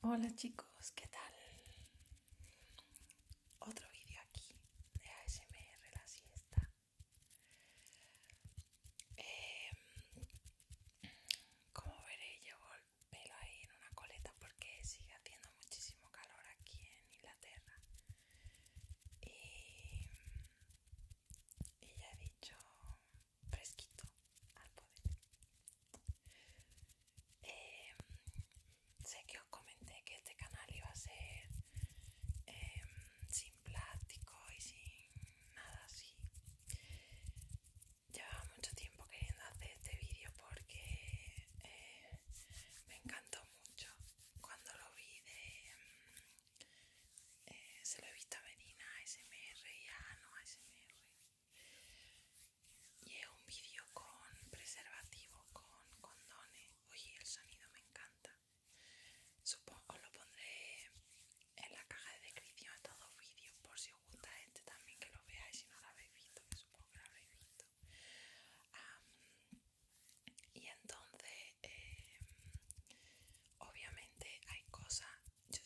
Hola chicos, ¿qué tal? Otro vídeo aquí de ASMR la siesta. Em, como veréis llevo el pelo ahí en una coleta porque sigue haciendo muchísimo calor aquí en Inglaterra y, y ya he dicho fresquito al poder eh, sé que os comenté que este canal iba a ser em, sin plástico y sin nada así llevaba mucho tiempo queriendo hacer este vídeo porque eh, me encantó mucho. Cuando lo vi de... Mm, eh, se lo he visto a Medina, ASMR y a Ano ASMR. Y es un vídeo con preservativo, con condones. Oye, el sonido me encanta. Supongo, os lo pondré en la caja de descripción de todos los vídeos por si os gusta este también que lo veáis si no lo habéis visto, que supongo que lo habéis visto y entonces, em, obviamente hay cosas, yo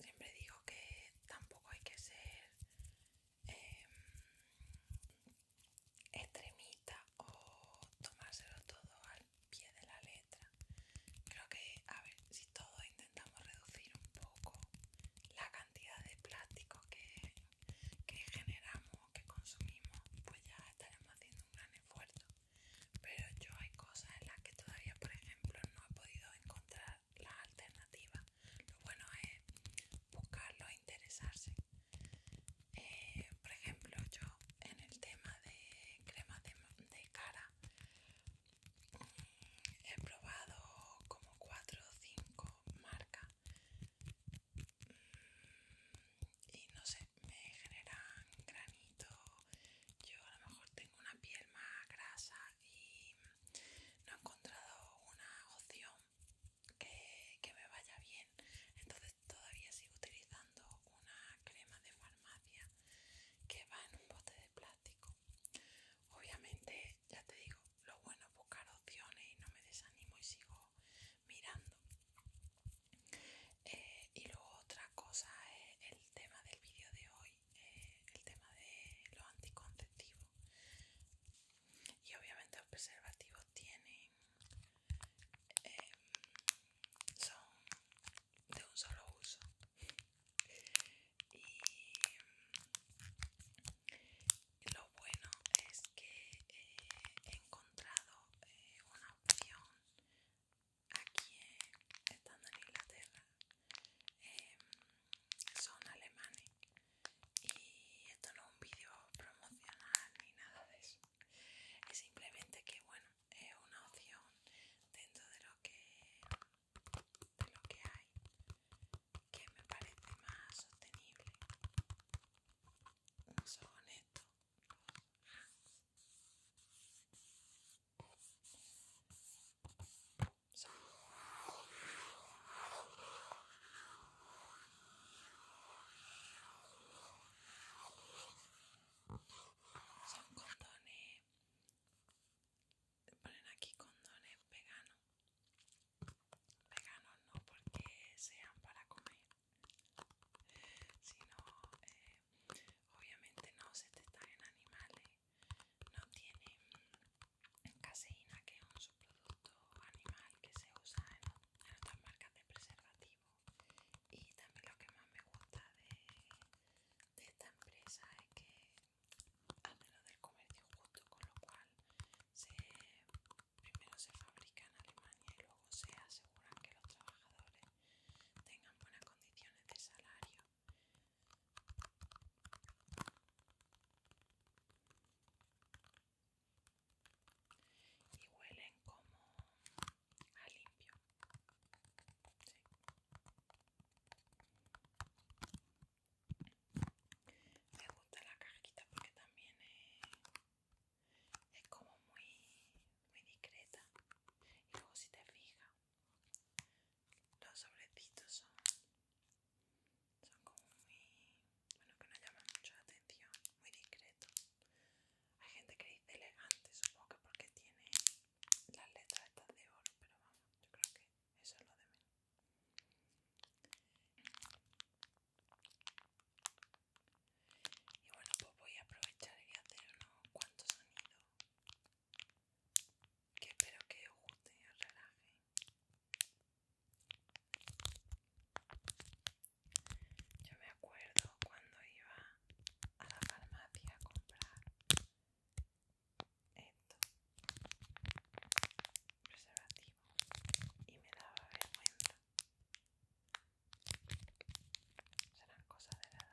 siempre digo que tampoco hay que ser extremita extremista o tomárselo todo al pie de la letra. Creo que, a ver, si todos intentamos reducir un poco la cantidad de plástico que que generamos que consumimos, pues ya estaremos haciendo un gran esfuerzo. Pero yo hay cosas en las que todavía, por ejemplo, no he podido encontrar la alternativa. Lo bueno es buscarlo e interesarse. Eh, por ejemplo, yo en el tema de crema de, de cara mm, he probado como 4 o 5 marcas y no sé, me generan granito. Yo a lo mejor tengo una piel más grasa y no he encontrado una opción que, que me vaya bien. Entonces todavía sigo utilizando una crema de farmacia que va en un bote de plástico. Obviamente, ya te digo, lo bueno es buscar opciones y no me desanimo y sigo mirando. Eh, y luego otra cosa es el tema del vídeo de hoy, eh, el tema de los anticonceptivos. Y obviamente los preservativos tienen... Eh, son de un solo uso y lo bueno es que eh, he encontrado eh, una opción aquí estando en Inglaterra em, son alemanes y esto no es un vídeo promocional ni nada de eso es simplemente que bueno es una opción dentro de lo que de lo que hay que me parece más sostenible no son honestos son son ponen aquí condones veganos veganos no porque sean para comer sino eh, obviamente no se testan en animales no tienen caseína que es un subproducto animal que se usa en, otras marcas de preservativo y también lo que más me gusta de esta empresa es que al menos del comercio justo, con lo cual se, primero se fabrica en Alemania y luego se aseguran que los trabajadores tengan buenas condiciones de salario. Y huelen como a limpio. Me gusta la cajita porque también es, eh, es como muy, muy discreta. Y luego si te fijas, los sobrecitos son, son como muy, bueno, que no llaman mucho la atención, muy discreto Hay gente que dice elegante, supongo que porque tiene las letras estas de oro, pero vamos, yo creo que eso es lo de menos. Y bueno, pues voy a aprovechar y hacer unos cuantos sonidos que espero que os guste y os relaje. Yo me acuerdo cuando iba a la farmacia a comprar esto preservativo y me daba vergüenza serán cosas de nada.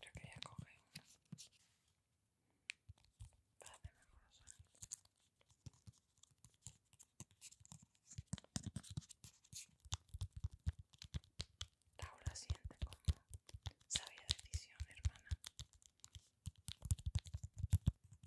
Creo que ya a una para hacer mejor la sonidos. siguiente siente como sabía decisión, hermana.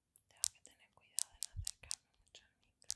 Tengo que tener cuidado de acercarme mucho al micro.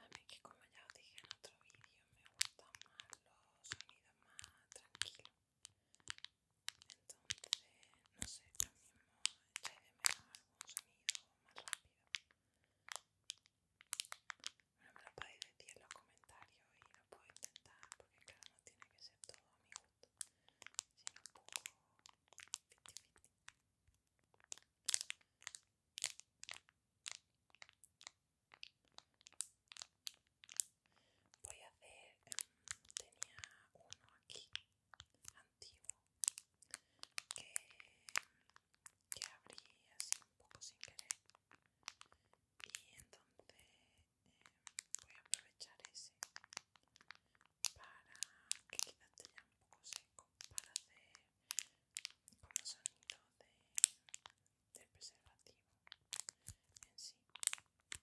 A mí que como ya os dije en otro vídeo me gustan más los sonidos más tranquilos. Entonces, no sé, yo mismo echáis de menos algún sonido más rápido. Bueno, me lo podéis decir en los comentarios y lo puedo intentar porque claro, no tiene que ser todo a mi gusto. Voy a hacer, em, tenía uno aquí, antiguo, que, que abrí así un poco sin querer y entonces voy a aprovechar ese para que quede ya un poco seco para hacer como sonido de, de preservativo en sí a ver qué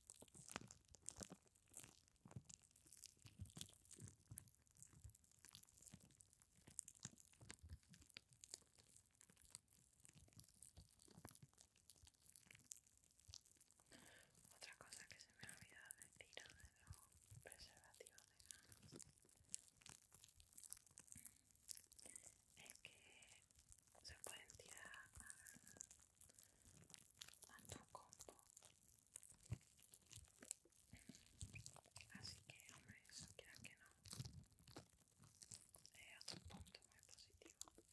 Otra cosa que se me ha olvidado decir de los preservativos veganos es que se pueden tirar a tu compu así que hombre eso que no es eh, otro punto muy positivo